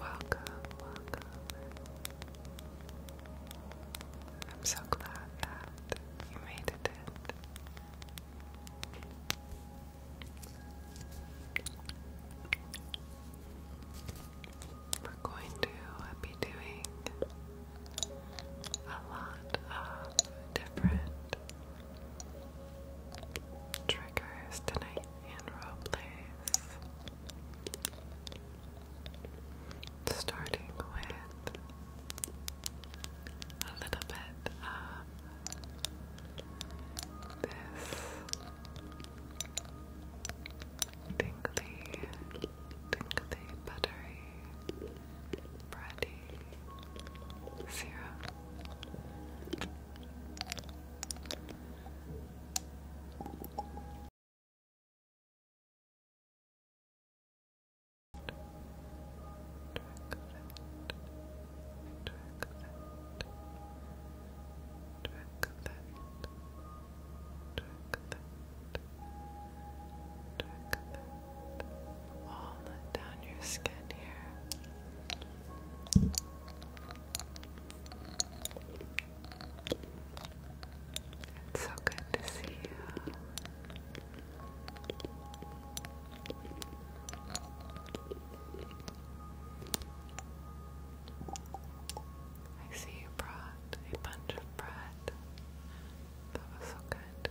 Welcome, I'm so glad that you made it We're going to be doing a lot of different triggers tonight and roleplays. Starting with a little bit of this tingly, tingly, buttery, bready serum all down your skin here. It's so good to see you. I see you brought a bunch of bread. That was so good.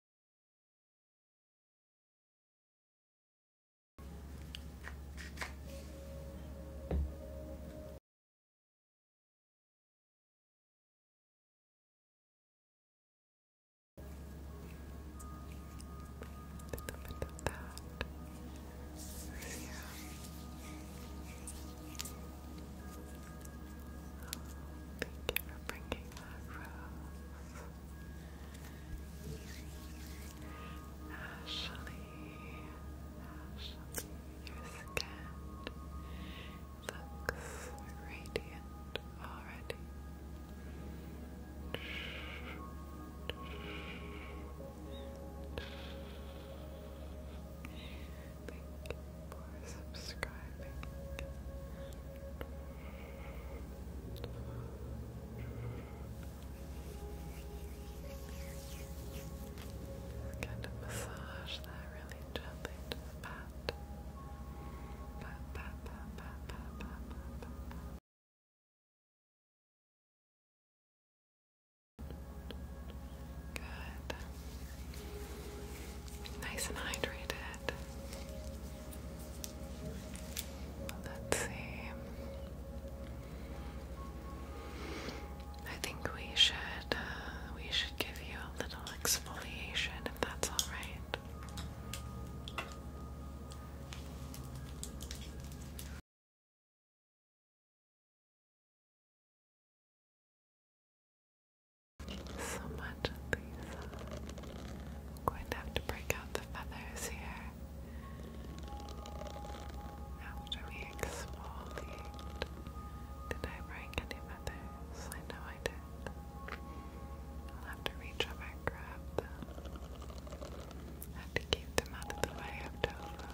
Thank you for bringing that Ashley, Ashley, your skin looks radiant already. Thank you for subscribing. Kind of massage that really gently pat, pat, pat, pat, pat, pat, pat, pat. Good. Nice and hydrated. Let's see. I think we should uh, we should give you a little exfoliation if that's all right. So much of these. Uh, I'm going to have to break out the feathers here after we exfoliate. Did I break any feathers? I know I did. I'll have to reach over and grab them. have to keep them out of the way of tofu.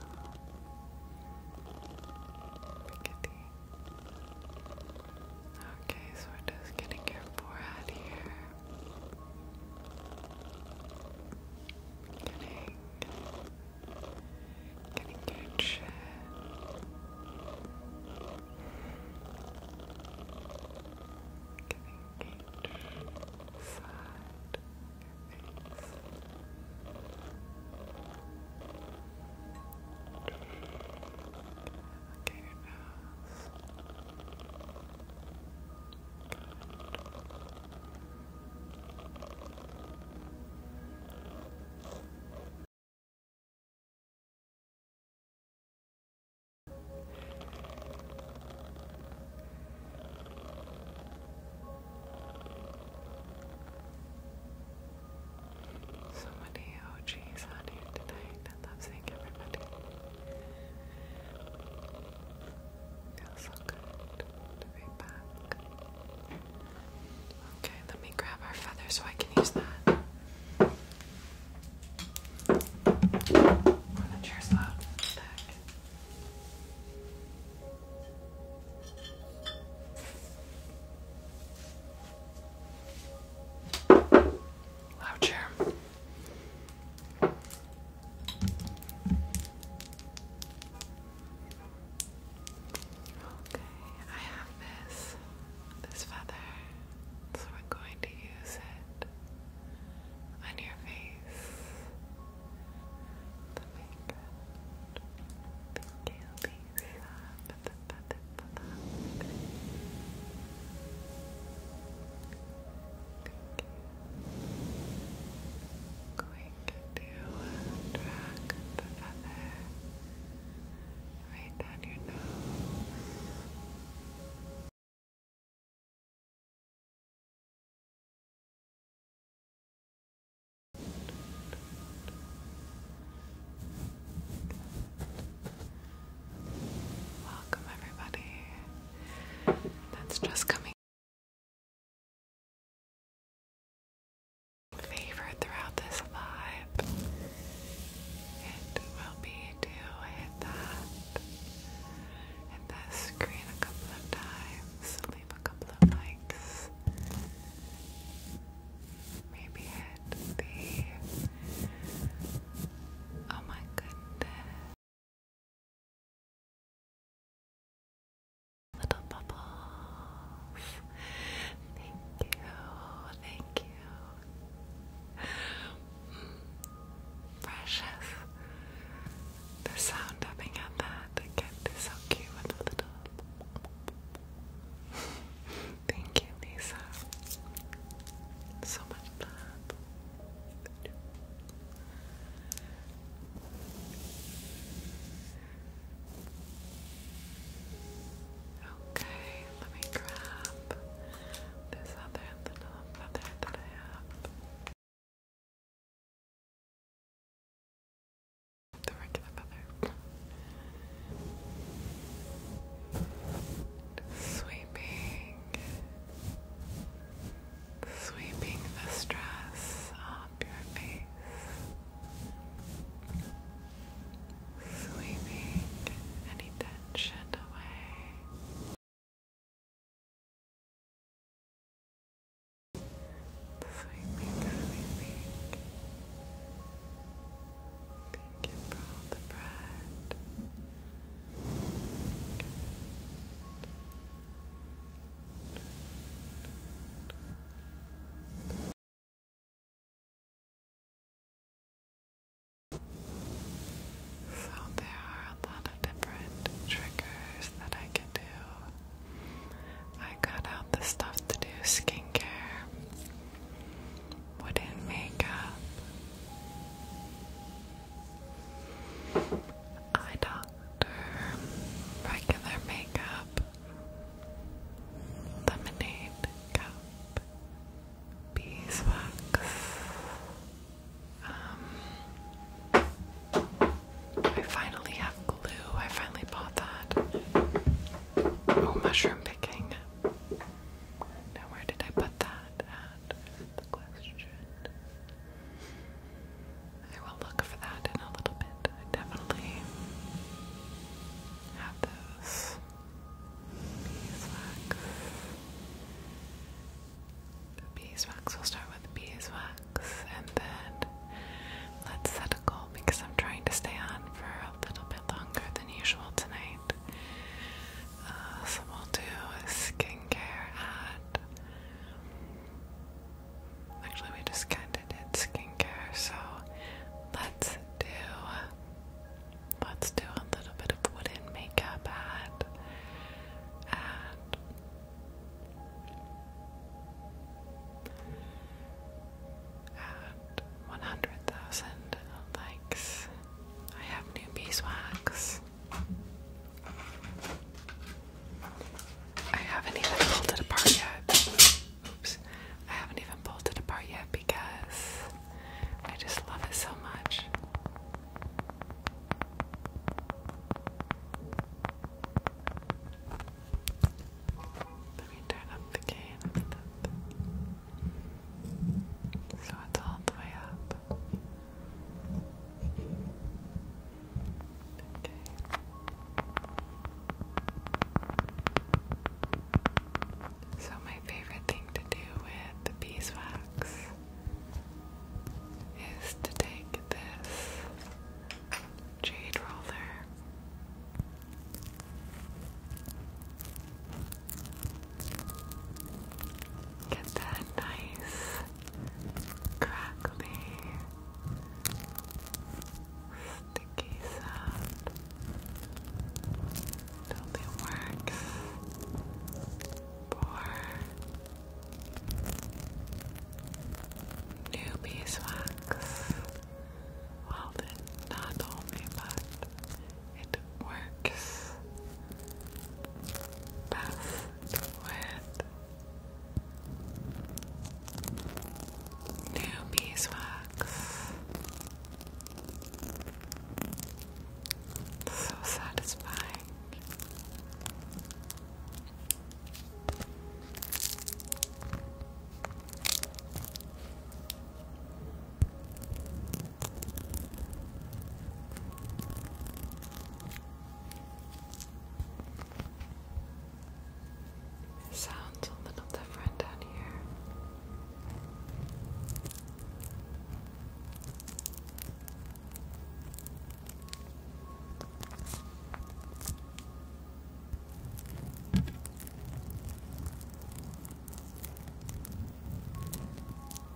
Okay, so we're just getting your forehead here. Getting, getting good shit. Getting each side of your face. Look at your nose. So many OGs on here tonight. I love seeing everybody. Feels so good to be back. Okay, let me grab our feather so I can use that. When the chair's loud, back. Loud chair. Okay, I have this this feather, so we're going to use it on your face. The makeup. Thank you, Lisa. the feather, but the Going to track the feather right down your nose. Welcome, everybody, that's just coming. Favorite throughout this live. It will be to hit that, hit that screen a couple of times, leave a couple of likes, maybe hit the. Oh my goodness. Little bubbles. Thank you. Thank you. Mm. Precious. The sound tapping at that again is so cute little. Thank you, Lisa. So much love. Okay, let me grab this other little feather that I have. The regular feather. Sweeping sweeping the stress off your face, sweeping any tension away. Sweeping, sweeping. Thank you all the bread. So, there are a lot of different triggers that I can do. I got out the stuff to do skincare, wooden makeup, Eye doctor, regular makeup, lemonade cup, beeswax. Um, I finally have glue. I finally bought that. Oh, mushroom picking. Now, where did I put that the question. I will look for that in a little bit. I definitely have those beeswax. beeswax, we'll start with beeswax and then let's set a goal because I'm trying to stay on for a little bit longer than usual tonight. Uh, so we'll do skincare at. Actually, we just kind of did skincare, so let's do. Let's do a little bit of wooden makeup at. at at 100,000 likes. I have new beeswax. I haven't even pulled it apart yet. Oops. I haven't even pulled it apart yet because I just love it so much. Let me turn up the gain so all the way up up. Okay. So, my favorite thing to do with the beeswax is to take this jade roller Get that nice crackly sticky sound. It only works for new beeswax. Well, then not only, but it works best with new beeswax. So satisfying sounds a little different down here.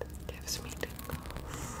It gives me tingles.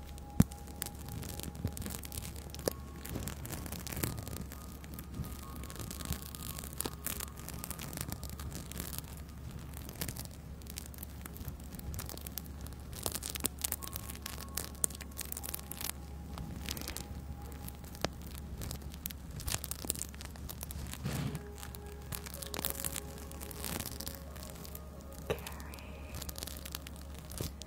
Carrie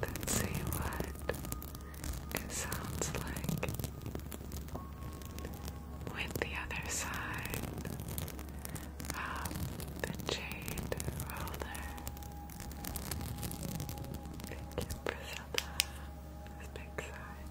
Let's see what it sounds like with the other side of the jade roller. Thank you, Priscilla. This big sign.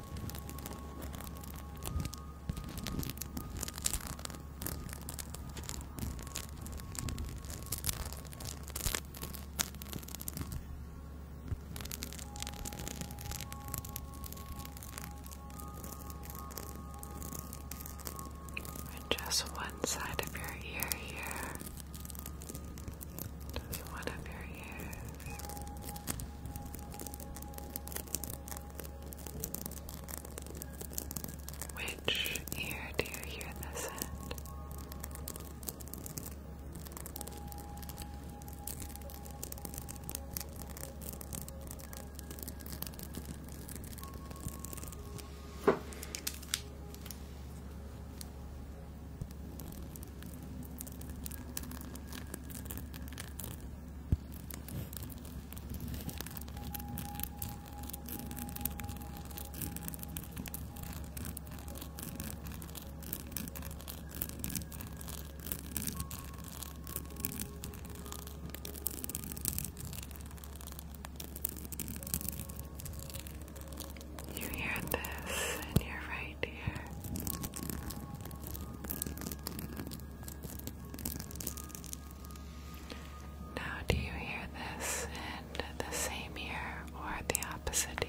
just one side of your ear here. one of your ears. Which ear do you hear this in? You hear this and you're right now, do you hear this in the same ear or the opposite ear?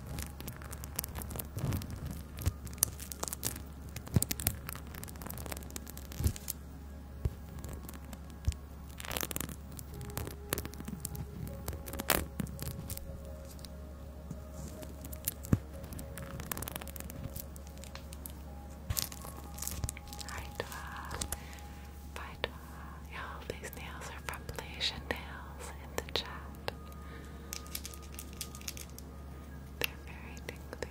Hayda, hayda, uh, Y'all, these nails are from Malaysian Nails in the chat. They're very tingly.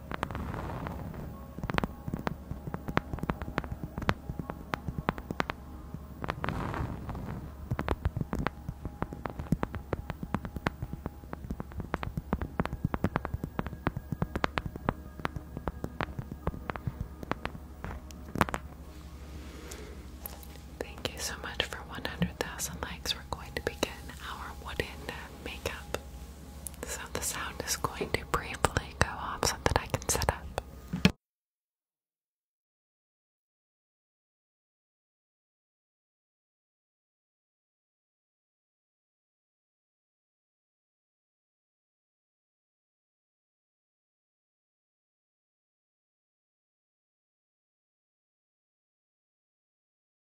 Thank you so much for 100,000 likes. We're going to begin our wooden makeup so the sound is going to briefly go off so that I can set up.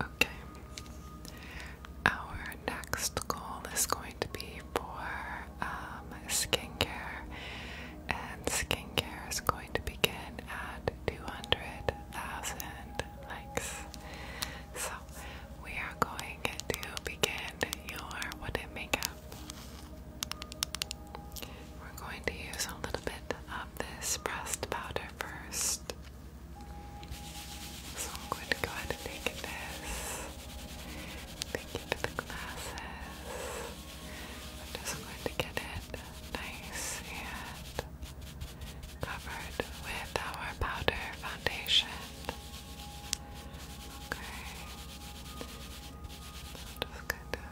Okay. Our next goal is going to be for um, skincare, and skincare is going to begin at 200,000 likes. So we are going to begin your wooden makeup. We're going to use a little bit of this pressed powder first. So I'm going to go ahead and take this. Thank you for the glasses. just going to get it nice and covered with our powder foundation. Okay. just kind of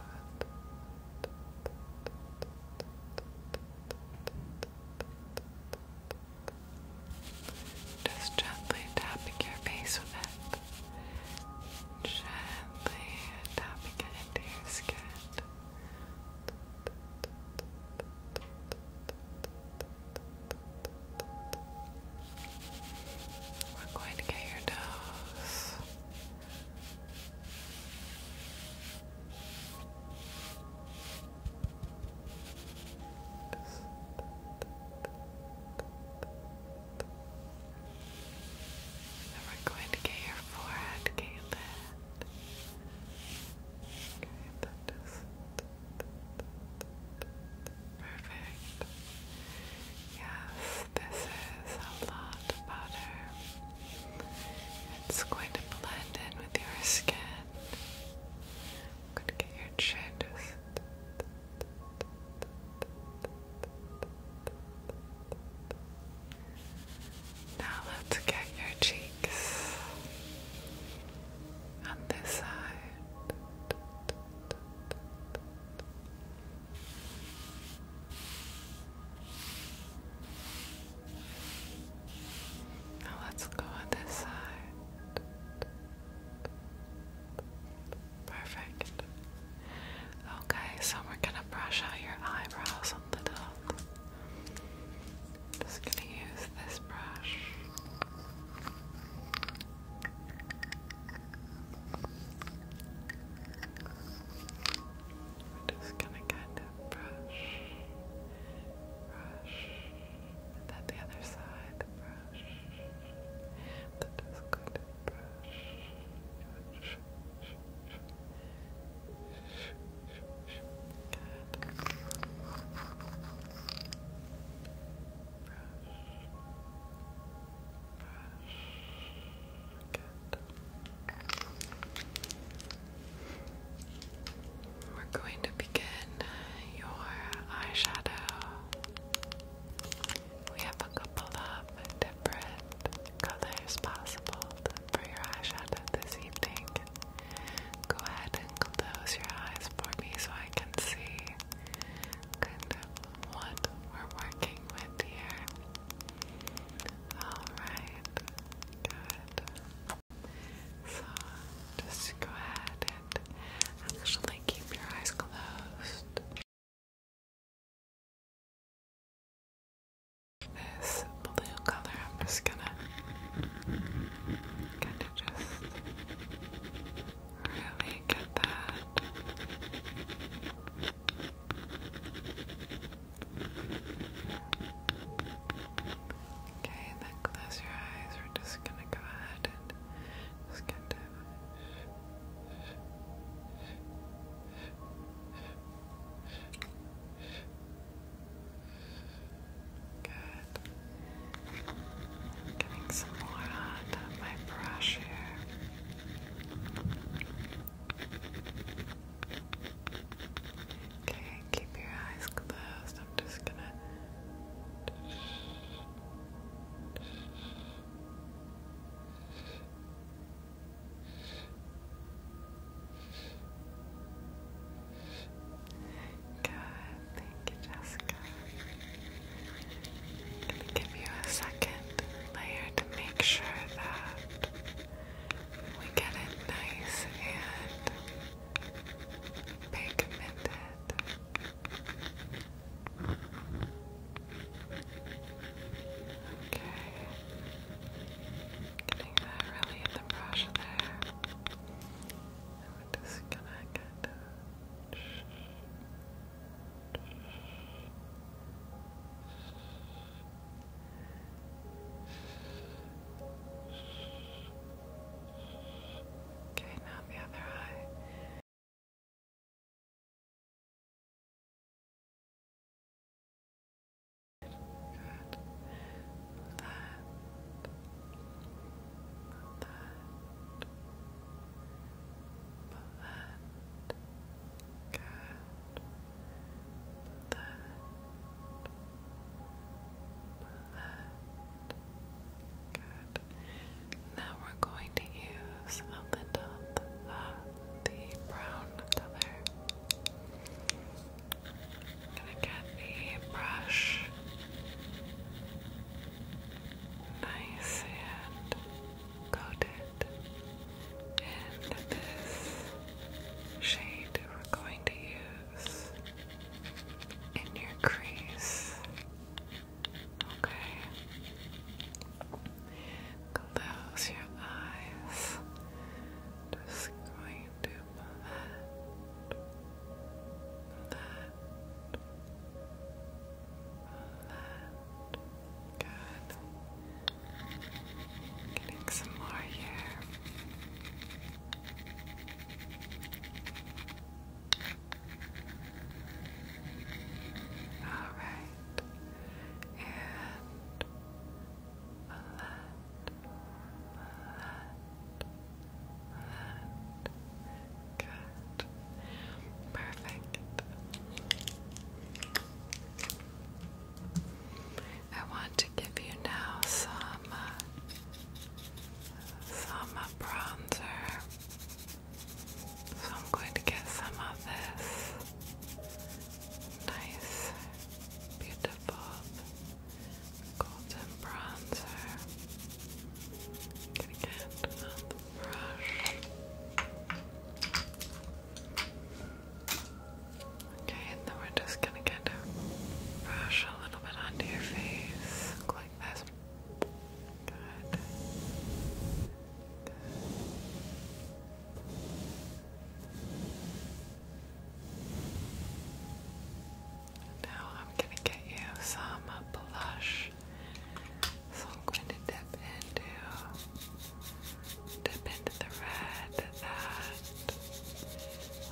just gently tapping your face with it. Gently tapping it into your skin. We're going to get your nose. And we're going to get your forehead, Caitlin. Okay, Perfect. Yes, this is a lot better. It's going to blend in with your skin. I'm going to get your chin just. Now let's get your cheeks on this side. Now let's go this side. Perfect. Okay, so we're gonna brush out your eyebrows a little. Just gonna use this brush. We're just gonna kind of brush, brush, and the other side, brush, then just going to brush, brush, brush, brush, brush, brush we're going to begin your eyeshadow. We have a couple of different colors possible for your eyeshadow this evening. Go ahead and close your eyes for me so I can see kind what we're working with here. Alright. Good. So just go ahead and actually keep your eyes closed. This blue color, I'm just gonna kind of just really get that. Okay, then close your eyes. We're just gonna go ahead and just get to. Good. getting some more out my brush here. Okay, keep your eyes closed. I'm just gonna. Good, thank you, Jessica. I'm give you a second layer to make sure that we get it nice and pigmented. Okay. Getting that really in the brush there. just gonna get Okay, now the other eye. Good. That. That. That. Good. Now we're going to use a little of the brown color. gonna get the brush nice and coated in this shade we're going to use in your crease. Okay. Close your eyes. Just going to that, that. Good. Getting some more here. All right, and a lot, a lot, Good, perfect. I want to give you now some uh, some bronzer. So I'm going to get some of this nice, beautiful golden bronzer. gonna get on brush. Okay, and then we're just gonna get to brush a little bit onto your face, like this. Good. Now I'm gonna get you some blush. So I'm going to dip into dip into the red that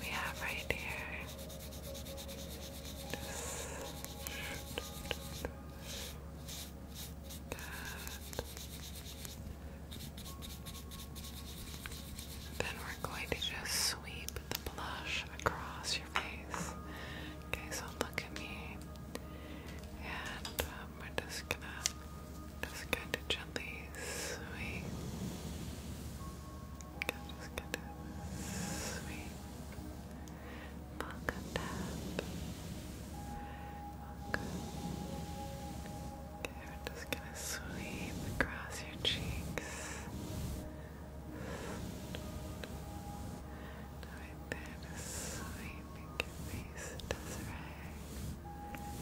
we have right here. Then we're going to just sweep the blush across your face. Okay, so look at me. And um, we're just gonna just kind of gently sweep. Just kind of sweep. Okay, we're just gonna sweep across your cheeks. Right there, just sweeping your face, Desiree. Good. Get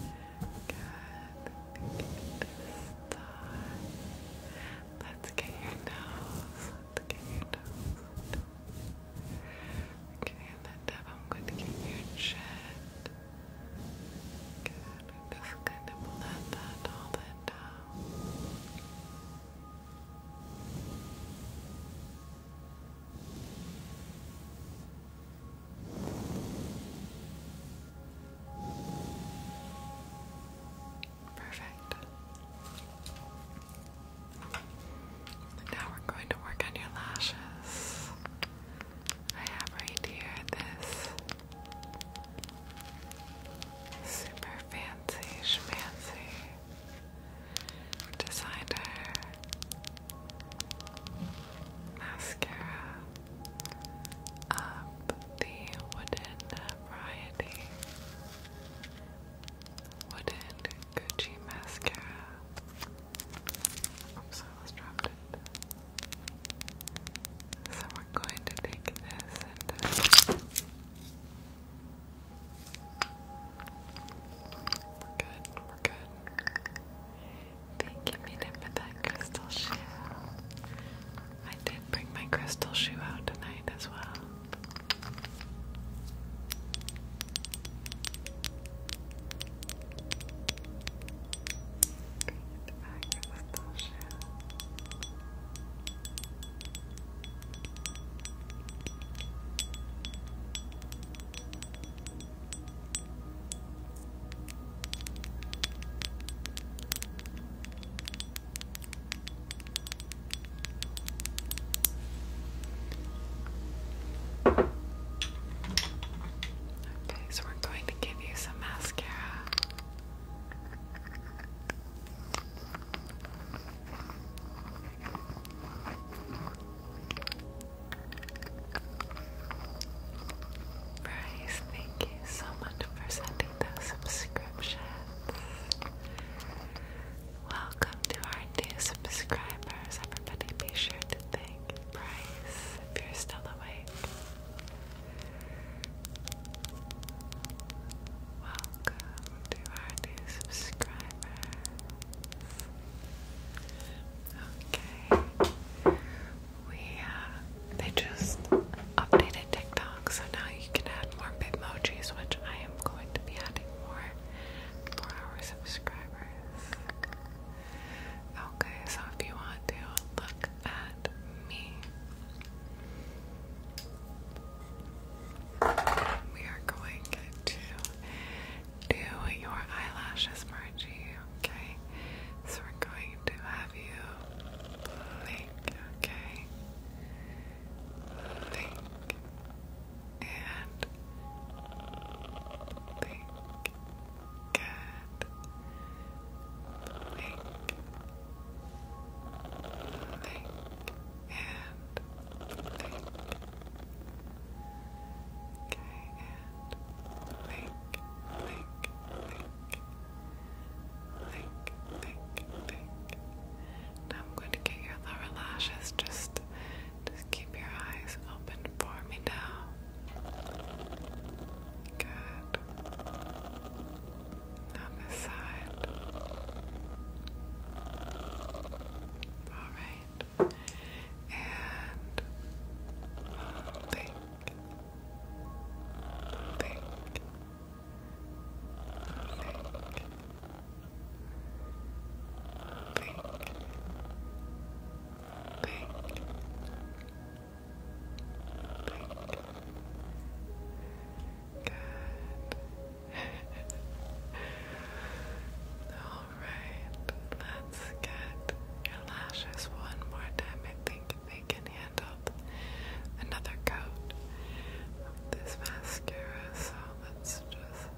Let's get your nose. Let's get your nose. Okay, and then I'm going to get your chin. Good. just going to blend that all that down. Perfect. Now we're going to work on your lashes. I have right here this super fancy schmancy designer mascara up the wooden variety wooden Gucci mascara. Oops, I almost dropped it. So we're going to take this uh, good, good. Thank you, Mina, that crystal shoe. I did bring my crystal shoe out tonight as well. Thank Okay, so we're going to give you some mascara. Bryce, thank you so much for sending those subscriptions. Welcome to our new subscribers, everybody. Be sure to thank Bryce if you're still awake. Welcome to our new subscribers. Okay we uh, they just updated TikTok, so now you can add more Bitmojis, which I am going to be adding more for our subscribers. Okay, so if you want to look at me, we are going to do your eyelashes, Margie. Okay, so we're going to have have you blink, okay? Blink and blink. Good. Blink, blink, and blink. Okay, and blink, blink, blink. Blink, blink, blink. Now I'm going to get your lower lashes. Just, just keep your eyes open for me now. Good. Now this side. All right. And blink, um, think, think, think, think. Good. Alright, let's get your lashes one more time. I think they can handle another coat of this mascara, so let's just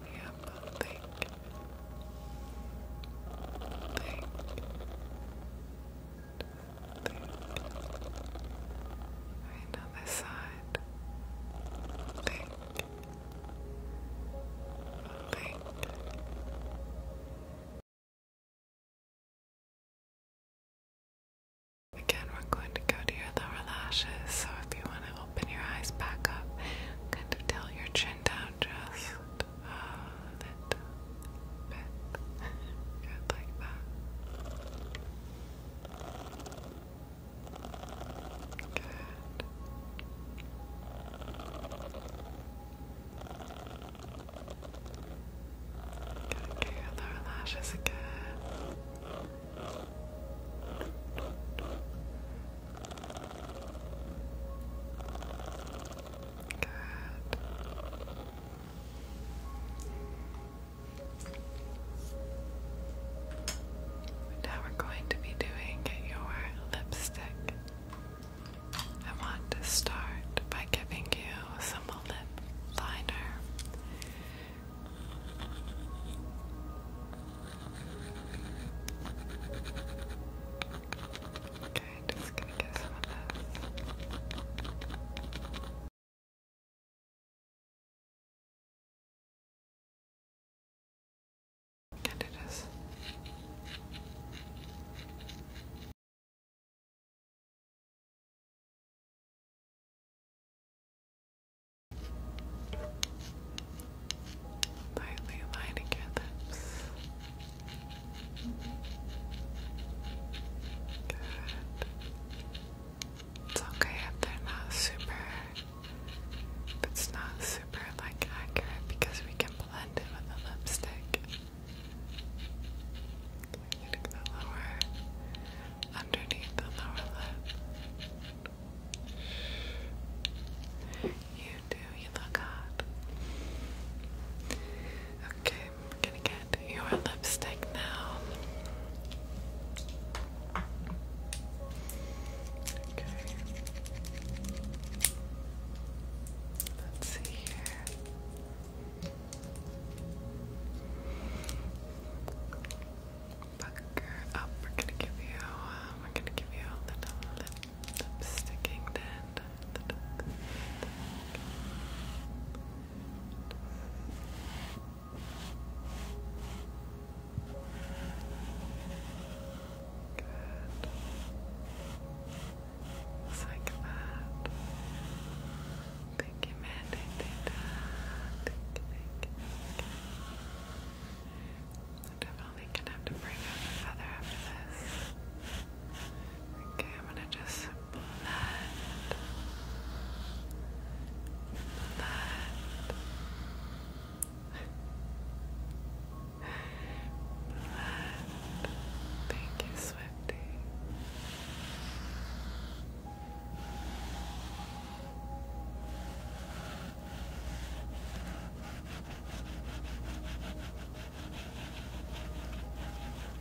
think, think, think. Right side. Think. Think. Again, we're going to go to your lower lashes, so if you want to open your eyes back up, kind of tilt your chin down just uh, a little bit. Good, like that. Good. Gotta get your lower lashes again. Good. Now we're going to be doing your lipstick. I want to start by giving you some lip liner. Okay, just gonna get some of this. And it is Lightly lining your lips. Good. It's okay if they're not super, if it's not super like accurate because we can blend it with a lipstick. Getting the lower, underneath the lower lip. You do, you look hot. Okay, we're gonna get your lipstick now. Okay. Let's see here. Pucker up. We're gonna give you. Uh, we're gonna give you a little lip, lip sticking dent. Good like that. Thank you, Mandy. Thank you, thank Definitely gonna have to bring out the feather after this. Okay, I'm gonna just blend. Blend. Blend. Thank you, Swift. Sandy.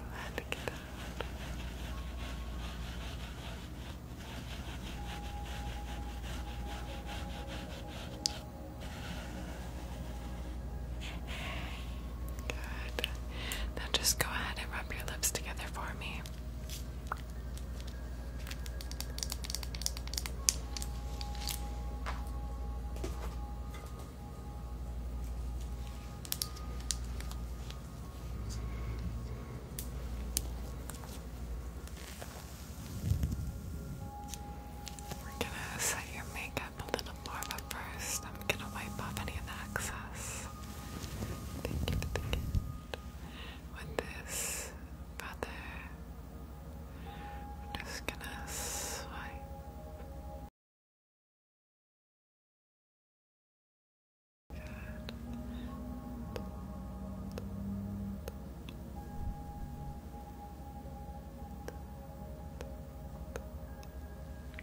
Glad to get out. Good. Now just go ahead and rub your lips together for me. We're gonna set your makeup up a little more, but first I'm gonna wipe off any of the excess. With this brother, I'm just gonna swipe.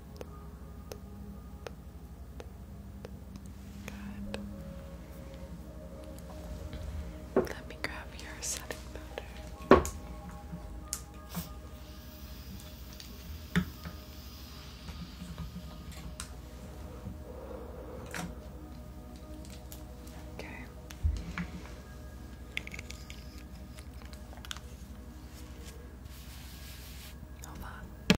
Good. Let me grab your setting powder. Okay. Hold on.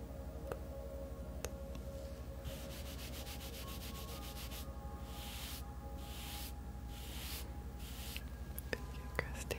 Thank you, Christy.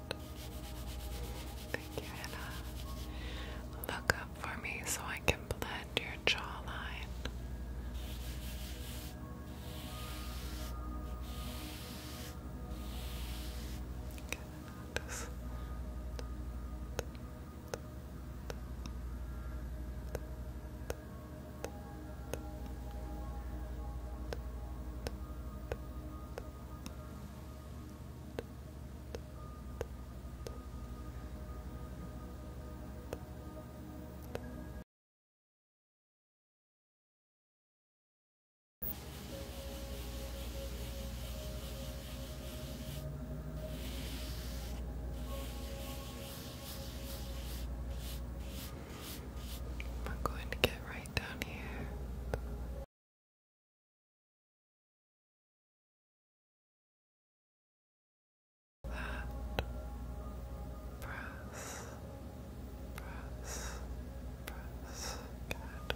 Thank you, Anna. Look up for me so I can blend your jawline. Good. I'm going to get right down here. And press, press, press. Good.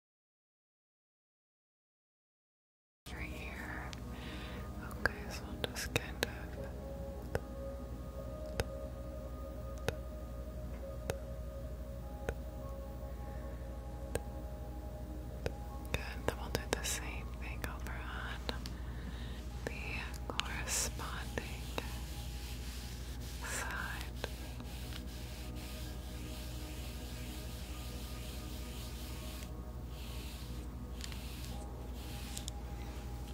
Right here. Okay, so I'll just kind of Good, then we'll do the same thing over on the corresponding side.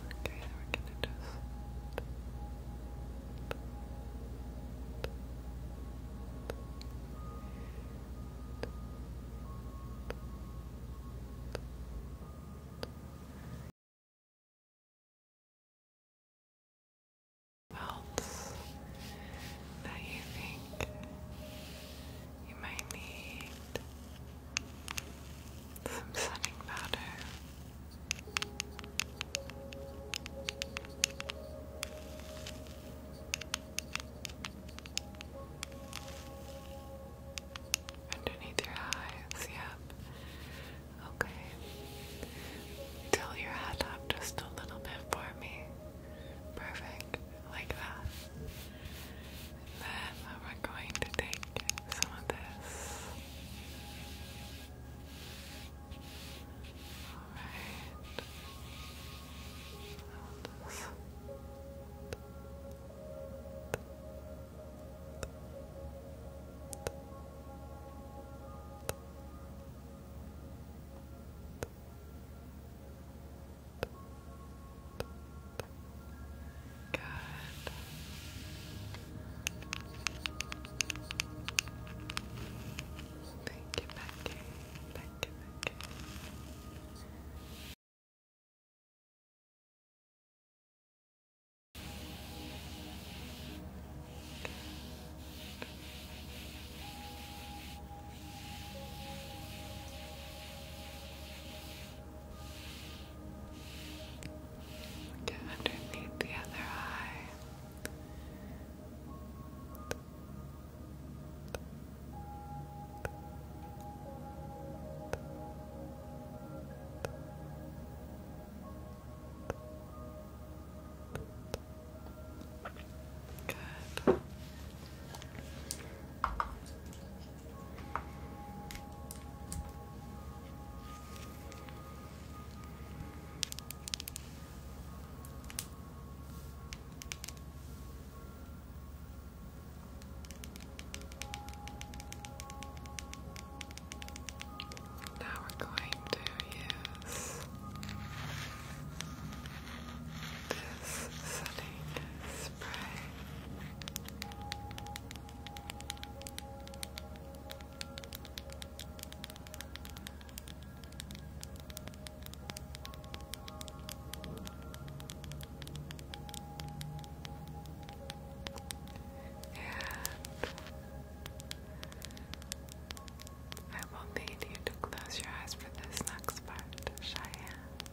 Okay, we're gonna just Bounce that you think you might need some setting powder. Underneath your eyes, yep. Okay. Tilt your head up just a little bit for me. Perfect, like that. then we're going to take some of this. Alright. Good. Thank you, Thank you, Becky. Good. Get underneath the other eye. Good. Now we're going to use this setting spray. And I will need you to close your eyes for this next part, Cheyenne.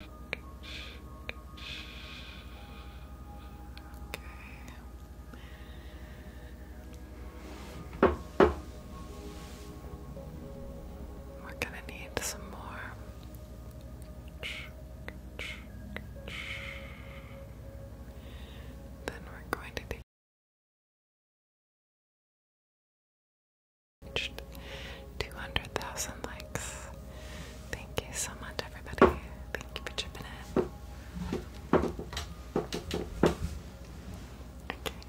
We're going to need some more. Then we're going to be 200,000 likes. Thank you so much, everybody. Thank you for chipping in. Okay,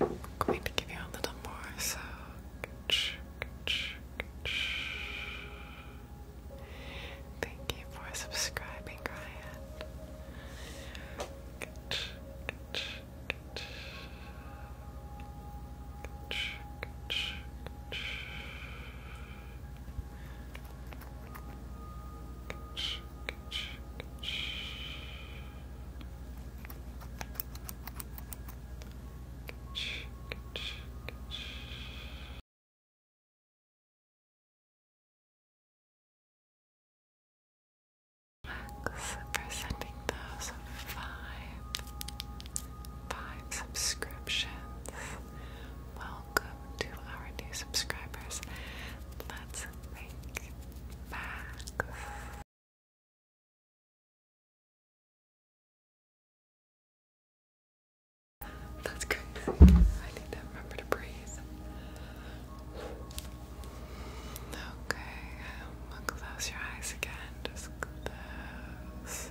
I'm going to give you a little more. So, thank you for subscribing, Ryan. Max for sending those five five subscriptions. Welcome to our new subscribers. Let's think back. That's crazy. I need to remember to breathe. Okay, um, close your eyes again. Just at this.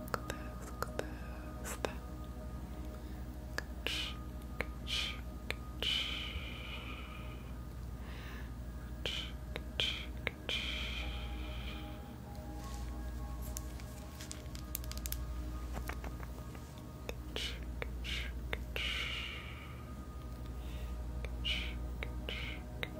Look at this, look at this. That. Catch, catch, catch. Catch, catch, catch. Catch, catch, catch.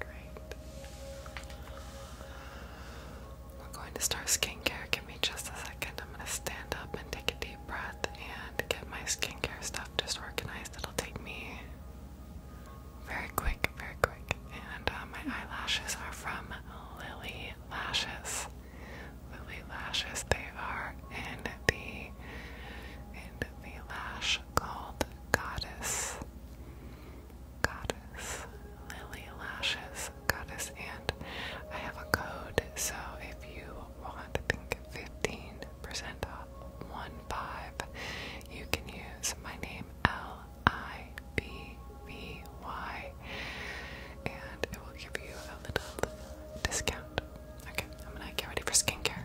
Great. We're going to start skincare. Give me just a second. I'm going to stand up and take a deep breath and get my skincare stuff just organized. It'll take me very quick, very quick. And uh, my eyelashes are from Lily Lashes. Lily Lashes. They are in the in the lash called Goddess. Goddess. Lily Lashes Goddess. And I have a code, so if you want, I think fifteen percentile one five, you can use my name L I B V Y, and it will give you a little discount. Okay, I'm gonna get ready for skincare.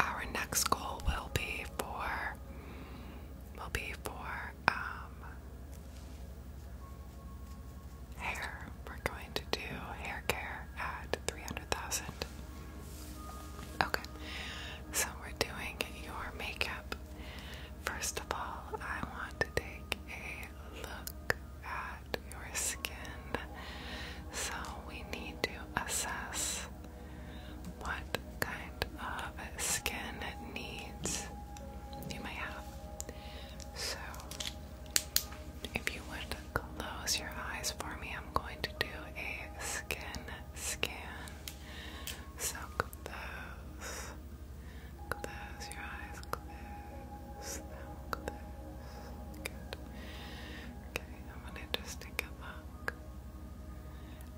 Our next goal will be for will be for um hair. We're going to do hair care at 300,000. Okay, so we're doing your makeup. First of all, I want to take a look at your skin. So we need to assess what kind of skin needs you may have. So, if you would close your eyes for me. I'm going to do a skin scan. So close. Close your eyes. Close them. Close. Okay, I'm going to just take a look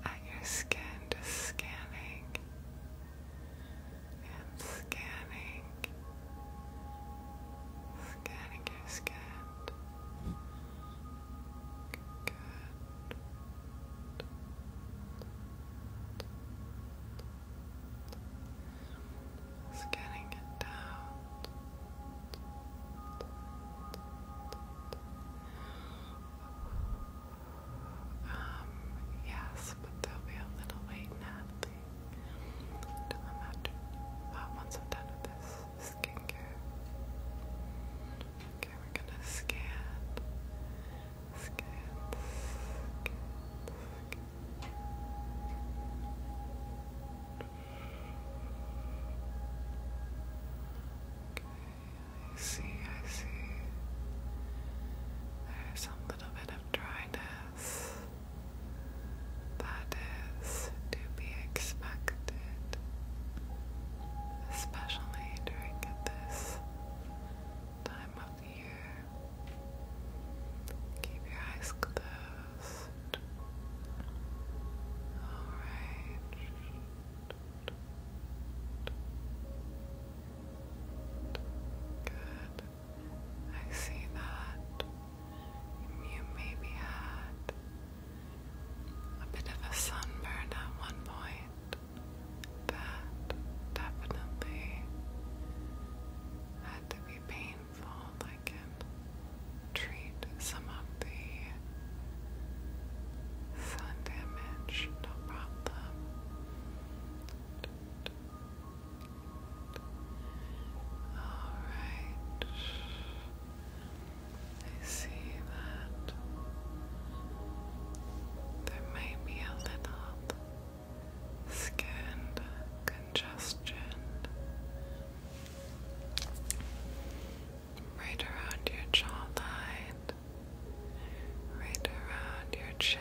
at your skin. Just scanning and Scanning, scan and get scanned. Good. Scanning it down. Um, yes, but there'll be a little wait, Until I'm after, once I'm done with this skincare. Okay, we're gonna scan, scan, scan, I see, I see. There's some little bit of dryness. That is to be expected, especially during this time of the year. Keep your eyes closed. Alright. Good. I see that you maybe had a bit of a sunburn at one point. That definitely had to be painful. I can treat some of the sun damage, no problem. All right. I see that there may be a little skin congestion right around your jawline, right around your chin.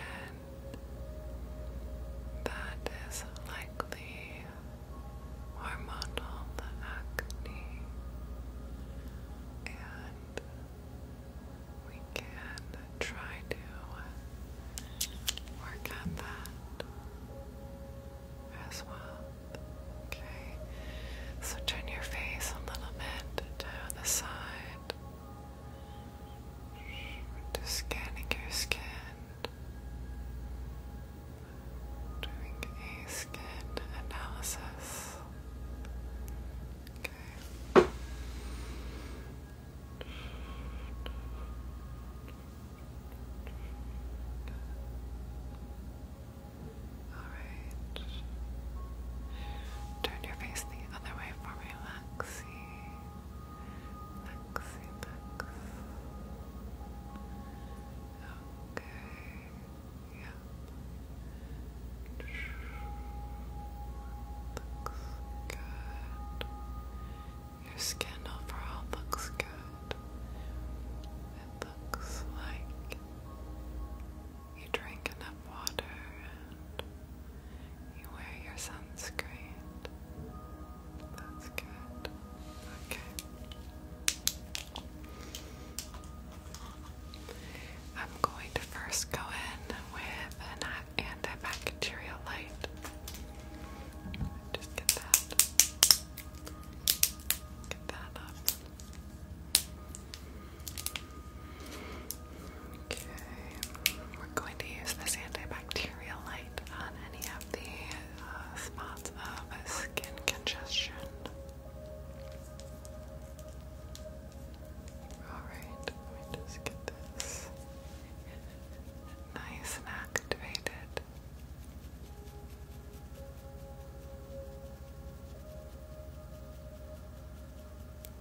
That is likely or model the acne, and we can try to work on that as well. Okay, so turn your face a little bit to the side. we scanning your skin Doing a skin analysis. Okay. Alright. Turn your face the other way for me, Lexi. Lexi, Lex. Okay. Yep. Looks good. Your skin overall looks good. It looks like you drink enough water and you wear your sunscreen. That's good. Okay. I'm going to first go in with an antibacterial light. Just get that. Get that up. Okay. We're going to use this antibacterial light on any of the spots of skin congestion. Alright, let me just get this nice and activated.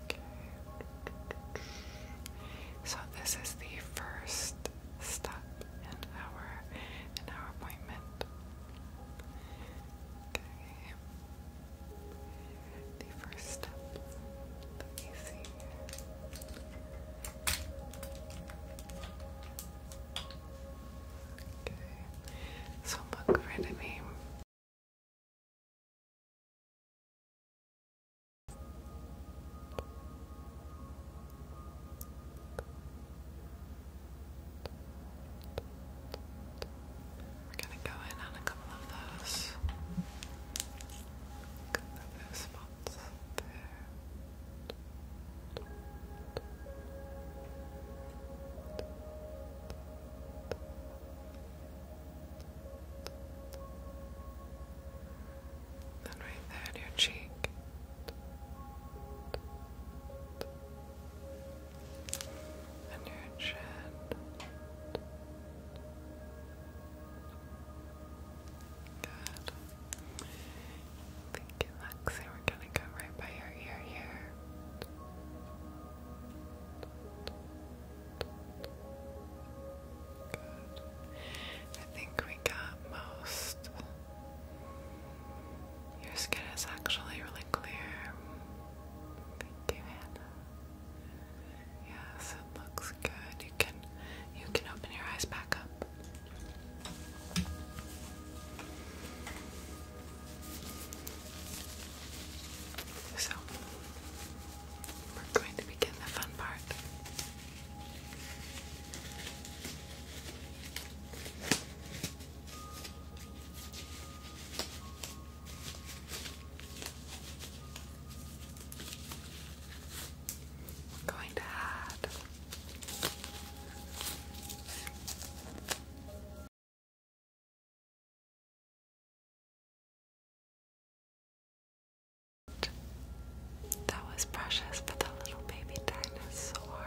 Okay. So this is the first step in our in our appointment. Okay. The first step that we Okay. So look right at me. We're gonna go in on a couple of those. A couple those spots there. Then right there in your cheek and your chin. Good. Thank you, We're gonna go right by your ear here. Good. I think we got most your skin is actually really clear. Thank you, Hannah. Yes, it looks good. You can you can open your eyes back up. So we're going to begin the fun part going to add that was precious for the little baby dinosaur.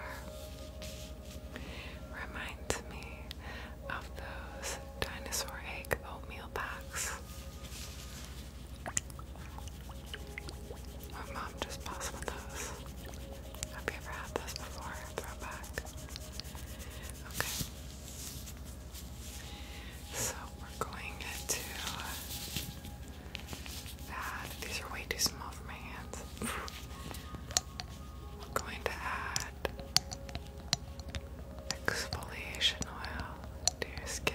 Reminds me of those dinosaur egg oatmeal packs. My mom just bought some of those. Have you ever had those before? Throwback. Okay. So we're going to add. These are way too small for my hands. I'm going to add exfoliation oil to your skin.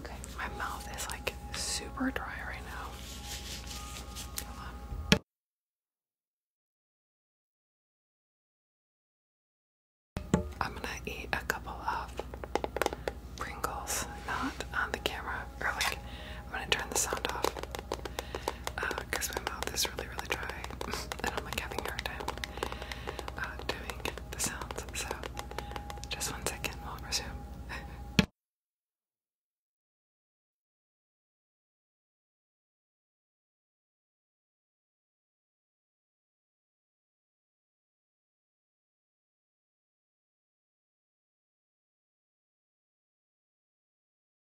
Okay, my mouth is like super dry right now. I'm gonna eat a couple of Pringles, not on the camera, or like I'm gonna turn the sound off. Um, because my mouth is really, really dry, and I'm like having a hard time uh, doing the sounds. So, just one second, we'll resume.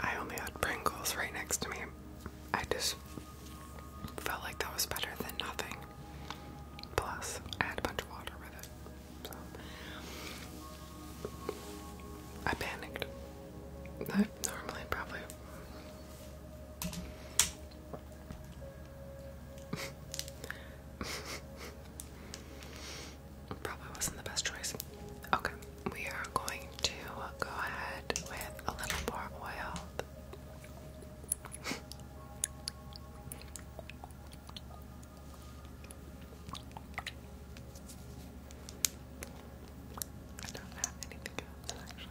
I only had Pringles right next to me. I just felt like that was better than nothing. Plus, I had a bunch of water with it. I panicked. I normally probably. Probably wasn't the best choice. Okay, we are going to go ahead with a little more oil. I don't have anything else actually.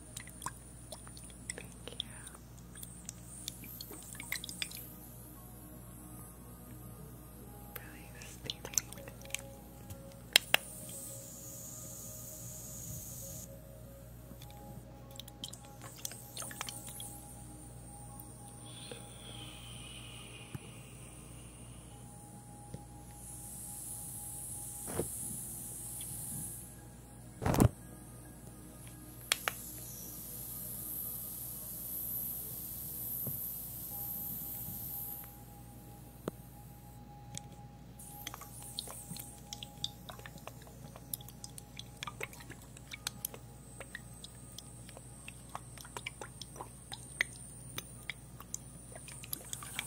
Thank you. Really steaming. Thank a little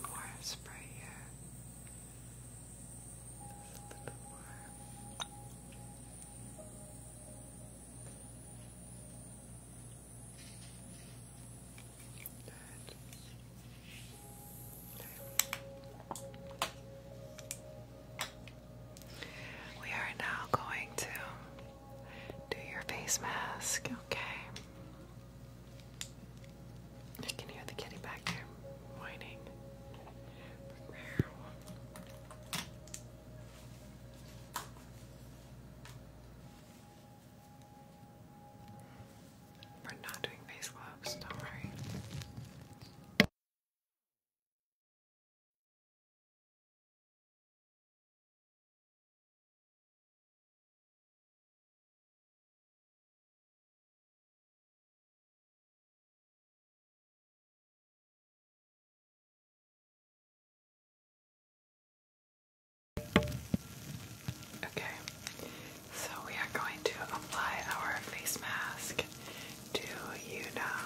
more spray here. We are now going to do your face mask, okay? I can hear the kitty back there whining. We're not doing face gloves, don't worry. Okay, so we are going to apply our face mask to you now.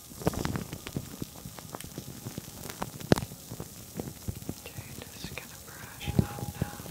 Okay, just gonna brush it up now. And down. Good.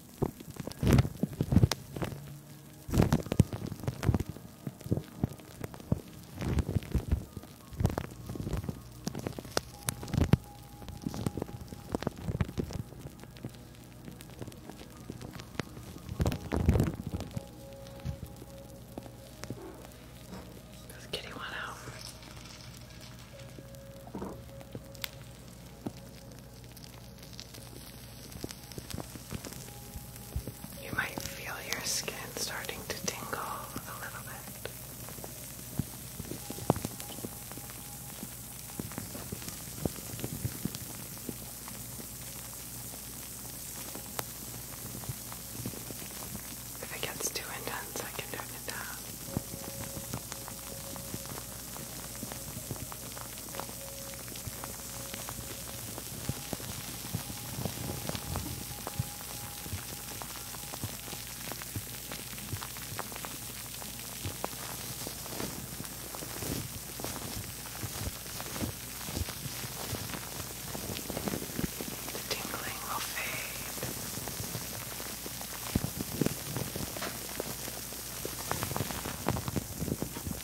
Let's get one out. You might feel your skin starting to tingle a little bit. If it gets too intense, I can turn it down. The tingling will fade.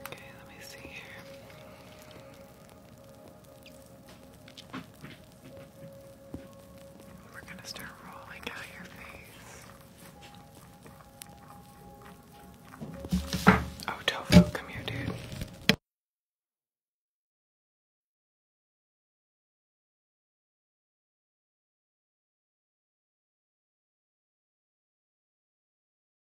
Okay, let me see here. We're gonna start rolling out your face. Oh, Tofu, come here, dude.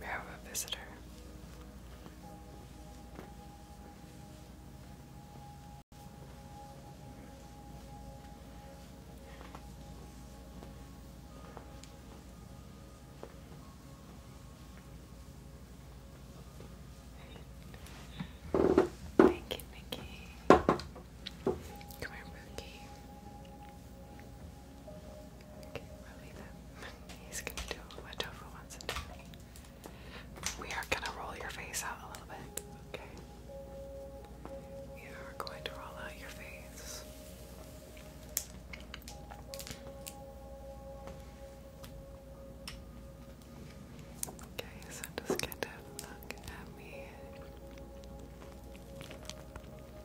We have a visitor. Thank you, Nikki. Come here, Bookie we He's gonna do what Tofu wants to do. We are gonna roll your face out a little bit, okay? You are going to roll out your face. Okay, so just kind of look at me.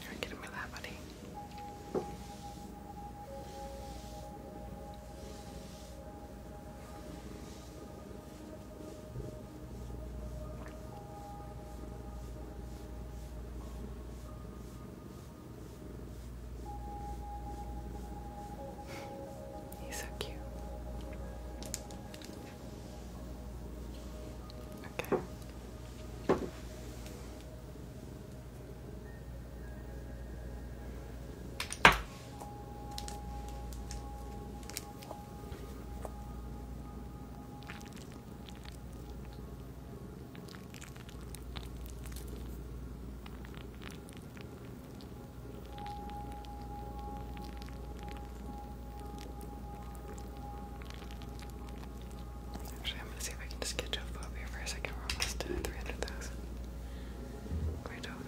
You're getting me that, buddy. He's so cute. Okay. Actually, I'm gonna see if I can just get to a here for a second. We're almost to 300,000. Great over.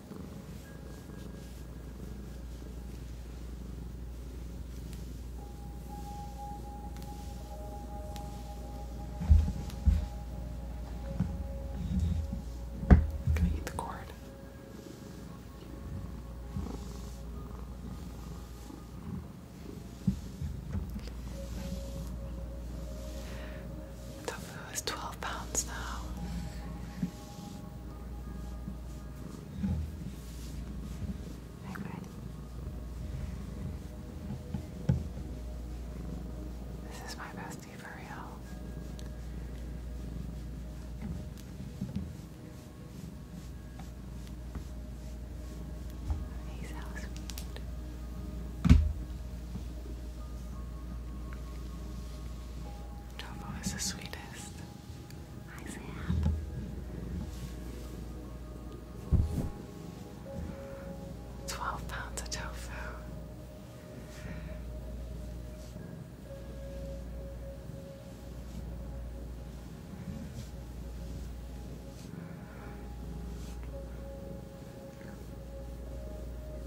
I'm gonna eat the cord. Tofu oh, is twelve pounds now. This is my bestie for real. He's house Tofu is the sweetest. Twelve pounds of tofu.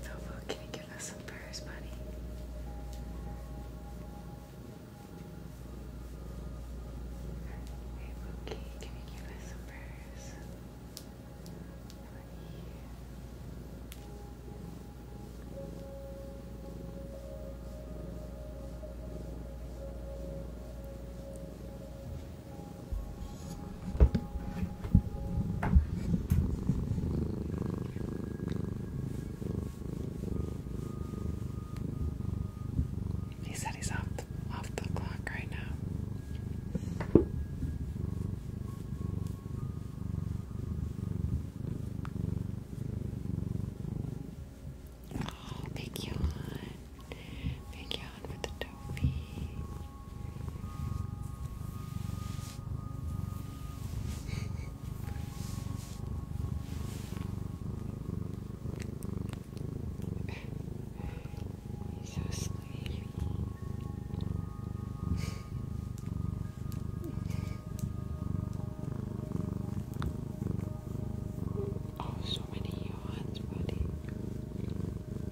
Tofu, can you give us some prayers, buddy? Hey, Mookie, can you give us some prayers? He said he's off the, off the clock right now. Oh, big yawn. Big yawn with the toffee. He's so sleepy. Oh, so many yawns, buddy.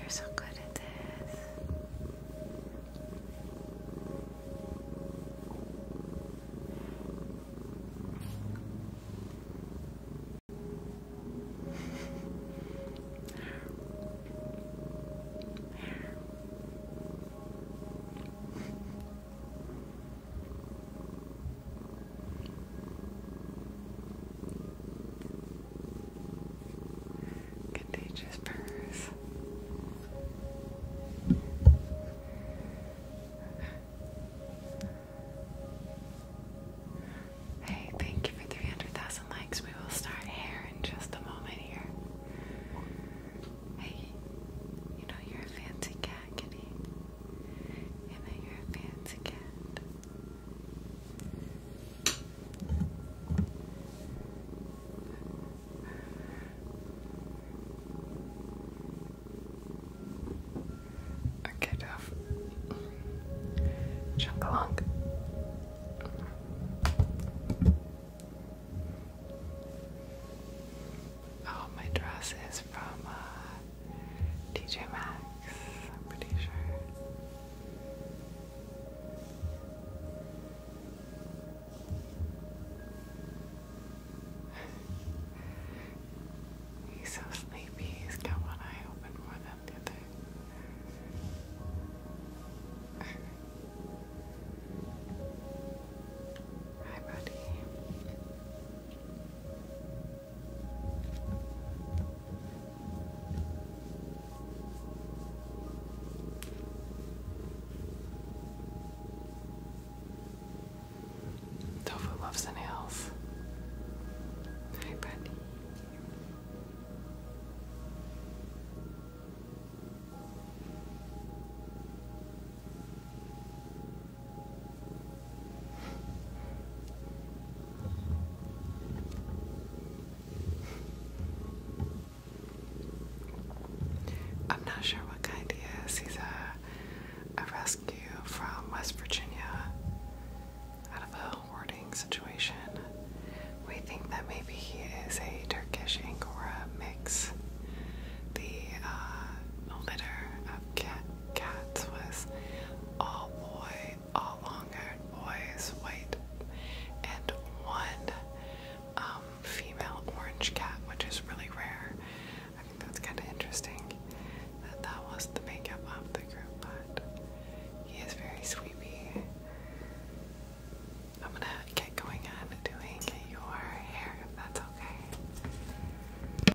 You're so good at this. Contagious purrs. Hey, thank you for 300,000 likes. We will start hair in just a moment here. Hey, you know you're a fancy cat, kitty and that you're a fancy cat. Okay, tough. Chunk along all oh, my dresses from uh, TJ Maxx, I'm pretty sure. He's so sleepy, he's got one eye open more than the other. Hi, buddy. Tofu loves the nails. Hi, buddy. I'm not sure what kind he is. He's a, a rescue from West Virginia out of a hoarding situation. We think that maybe he is a Turkish Angora mix, the uh, litter of cats cats was all boy, all long-haired boys, white, and one um, female orange cat, which is really rare. I think that's kind of interesting that that was the makeup of the group, but he is very sweetie. I'm gonna get going on doing your hair if that's okay.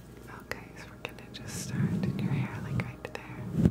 Okay, so we're gonna just start in your hair, like right there.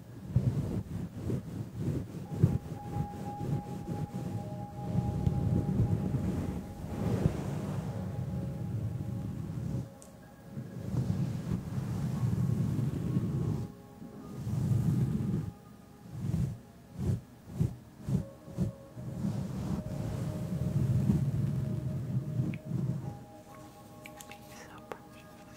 So precious.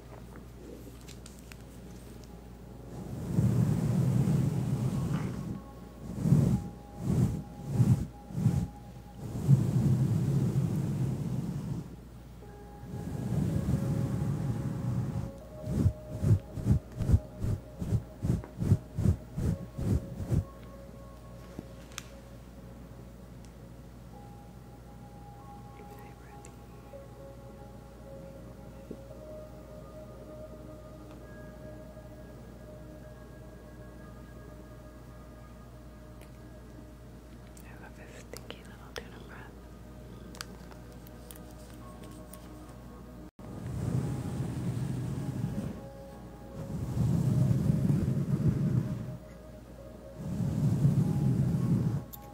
Very breathy. I love this stinky little tuna breath.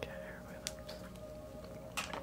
Okay, everybody looks. Okay,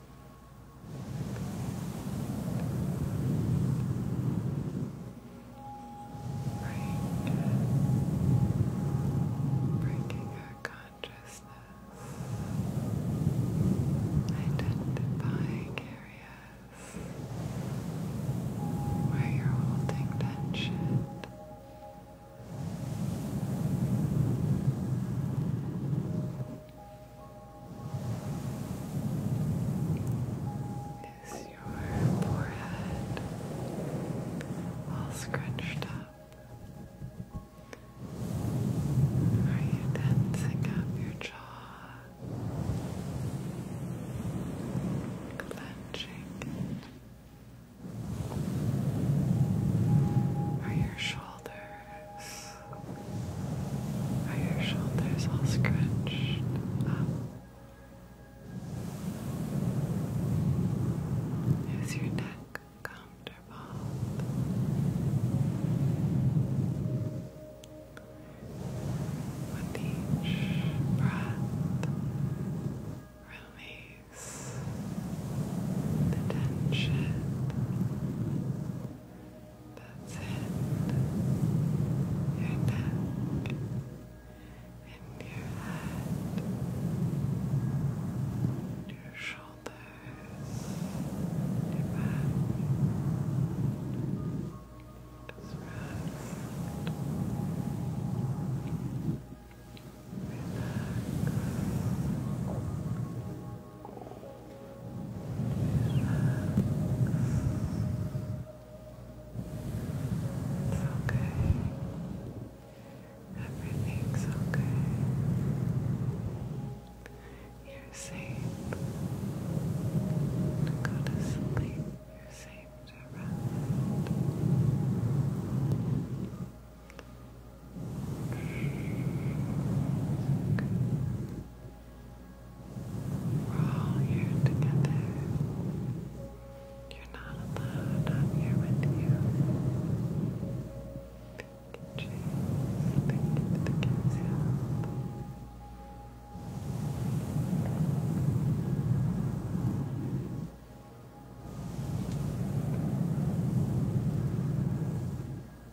Break breaking our consciousness, identifying areas where you're holding tension. Is your forehead all scrunched up? Are you tensing up your jaw? Clenching? Are your shoulders are your shoulders all scratched up? Is your neck comfortable? With each breath, release the tension. That's it. Your neck and your head, your shoulders, your back. Just rest. It's okay. Everything's okay. You're safe. Go to sleep. You're safe to rest. We're all here together. You're not alone. I'm here with you. Thank you, Chase. Thank you for the kids. Thank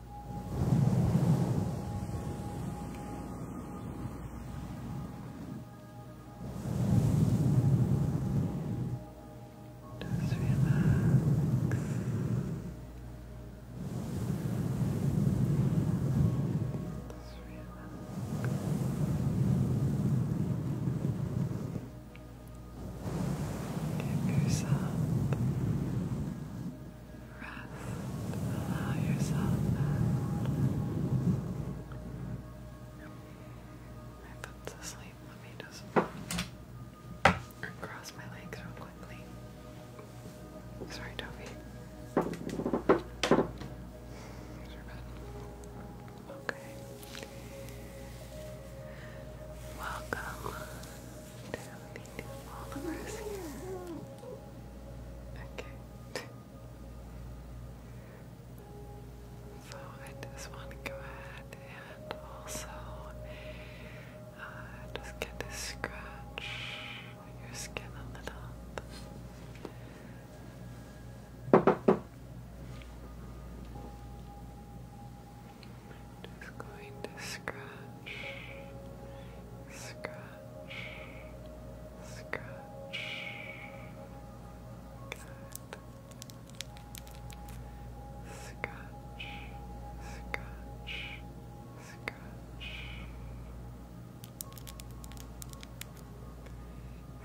Just relax. Just relax. Give yourself Rest. Allow yourself I put to Let me just cross my legs real quickly. Sorry, Toby. Okay. Welcome Okay. so I just want to go ahead and also uh, just get to scratch your skin on the Just going to scratch Scotch, scratch. Good. Scratch, scratch, scratch.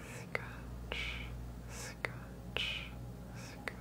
Scratch, scratch, scratch.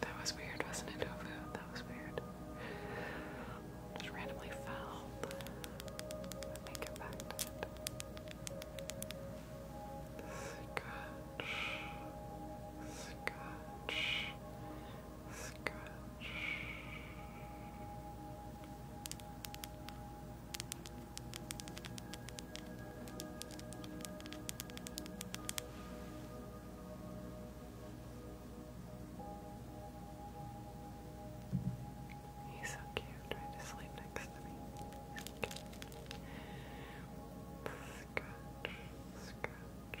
That was weird, wasn't it, Tofu? That was weird. Just randomly fell. Let me get it. Scratch. Scratch. Scratch. He's so cute, trying to sleep next to me. Scratch, scratch, scratch.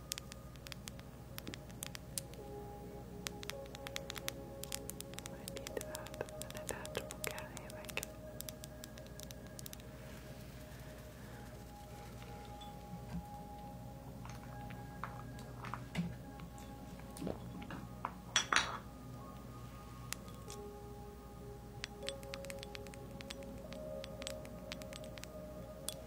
I need to an attachable cat hammock.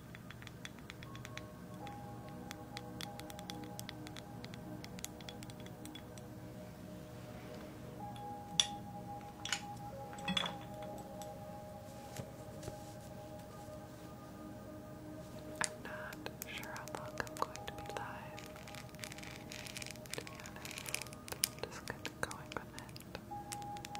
I'm not sure how I'm going to be live. just kind going with it.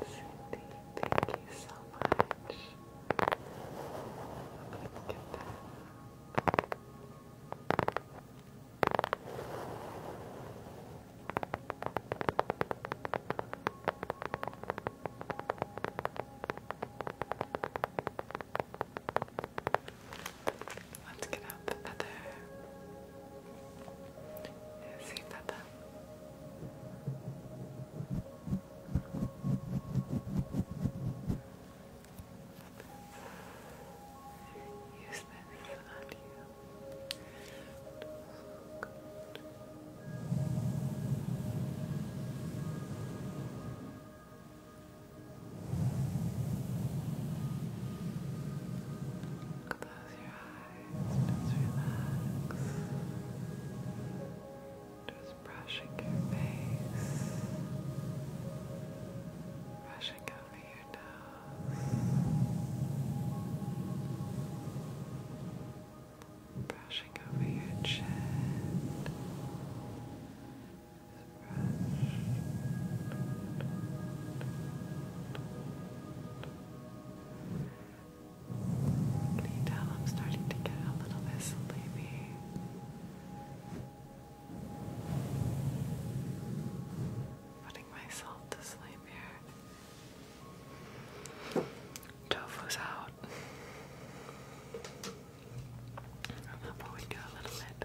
Cindy, thank you so much. Let's get that. Let's get out the feather. Is feather? Use this on you. Good. Good. Close your eyes, just relax. Just brushing your face, brushing over your nose, brushing over your chest. Can you tell I'm starting to get a little bit Putting myself to sleep here. Tofu's out. I'm gonna wake up a little bit.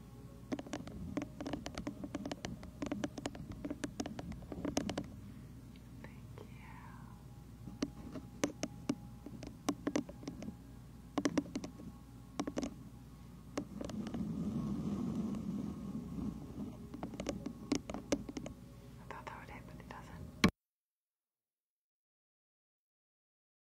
I thought that would hit, it doesn't.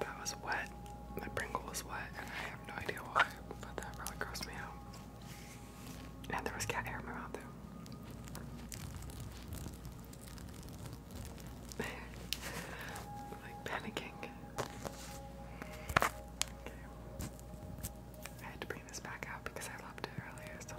That was wet. My Pringle was wet, and I have no idea why, but that really grossed me out. And there was cat hair around, my like panicking. I had to bring this back out because I loved it earlier so much.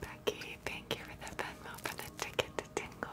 Becky, thank you for the Venmo for the ticket to Tingle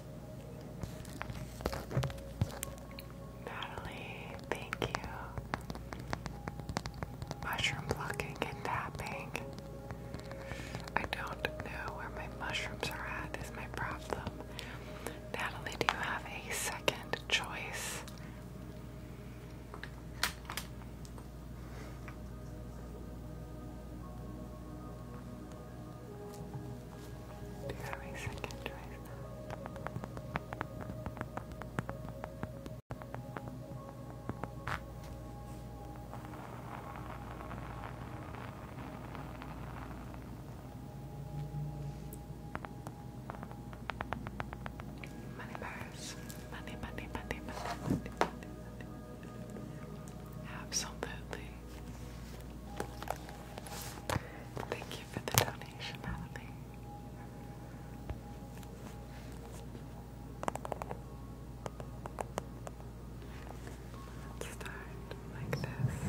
Natalie, thank you. Mushroom plucking and tapping. I don't know where my mushrooms are at, is my problem. Natalie, do you have a second choice? Do you have a second choice now? Money Money, money, money, money, money, money. Absolutely. Thank you for the donation, Natalie. Let's start like this.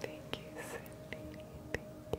Thank you, Cindy. Thank you.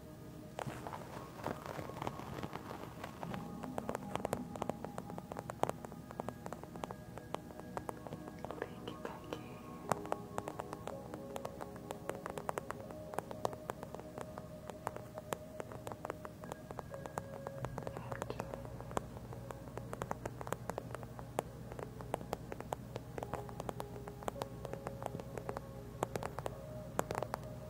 Thank you, Becky. Thank you. Thank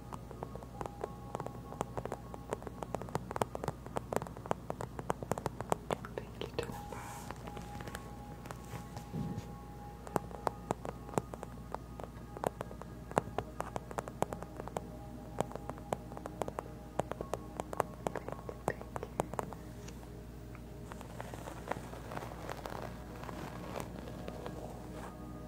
Thank you, Topaz. Thank you,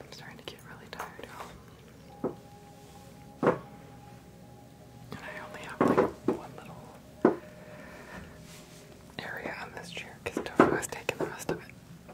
I'm starting to get really tired, And I only have like one little area on this chair because Tofu has taken the rest of it.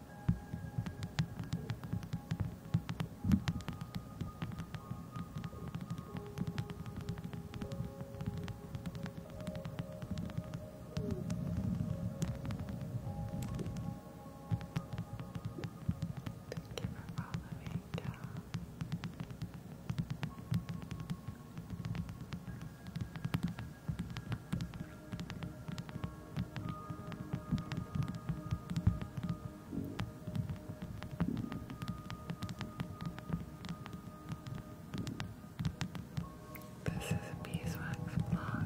Thank you for following. Yeah. This is a beeswax block.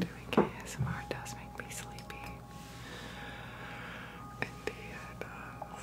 Doing ASMR does make me sleepy. Indeed, it does.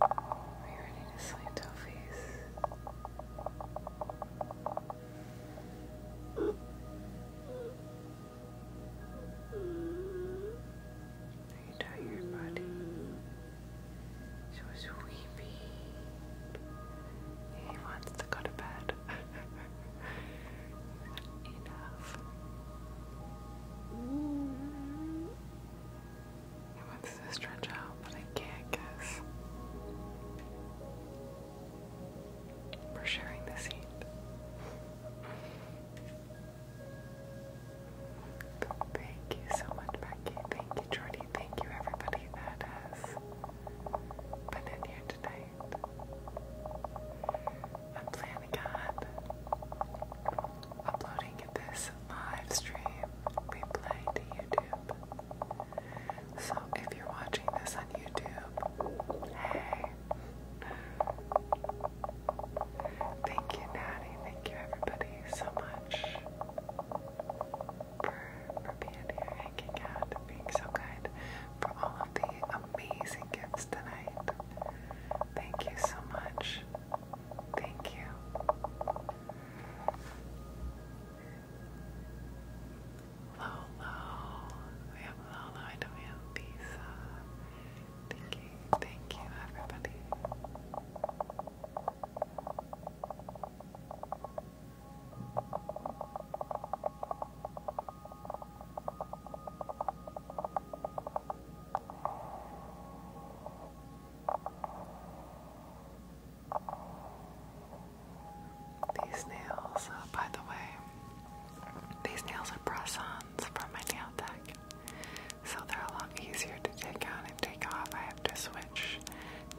Are you ready to sleep, Tofies? Are you tired, buddy? She was He wants to go to bed. Enough. I want to stretch out, but I can't because We're sharing the seat. Thank you so much, Becky. Thank you, Jordy. Thank you, everybody that has been in here tonight. I'm planning on uploading this live stream replay to YouTube so if you're watching this on YouTube, hey. Thank you, Natty. Thank you, everybody, so much for, for being here, hanging out, being so good, for all of the amazing gifts tonight. Thank you so much. Thank you. Lolo. We have Lolo. I know we have Lisa. Thank you. Thank you, everybody. These nails, uh, by the way, these nails are press-ons from my nail tech, so they're a lot easier to take on and take off. I have to switch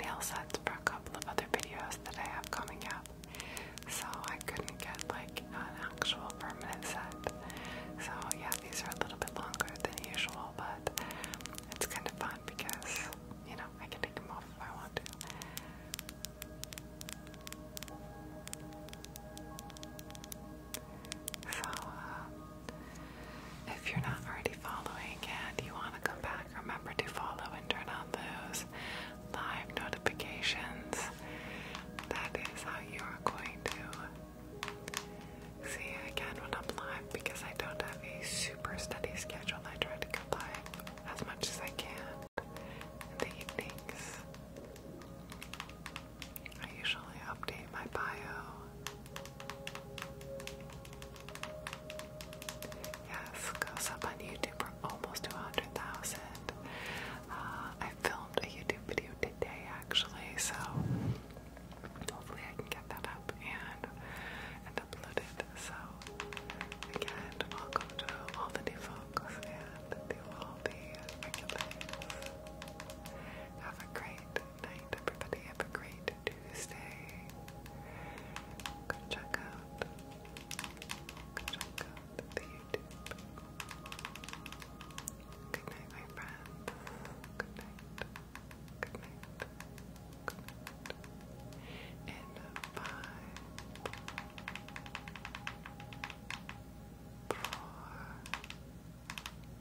nail sets for a couple of other videos that I have coming up, so I couldn't get like an actual permanent set. So yeah, these are a little bit longer than usual, but it's kind of fun because you know, I can take them off if I want to. So, uh, if you're not already following and you want to come back, remember to follow and turn on those live notifications. That is how you are going to see again when I'm live because I don't have a super steady schedule. I try to combine as much as I can in the evenings. I usually update my bio. Yes, goes up on YouTube for almost 200,000. Uh, I filmed a YouTube video today actually, so Hopefully, I can get that up and and So again, welcome to all the new folks and to all the regulars. Have a great night, everybody. Have a great Tuesday. Go check out. Go check out the YouTube. Good night, my friends. Good night. Good night. Good night. And five,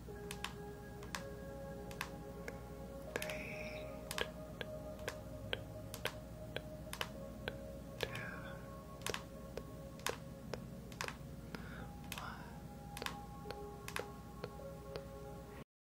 four, three, two, one.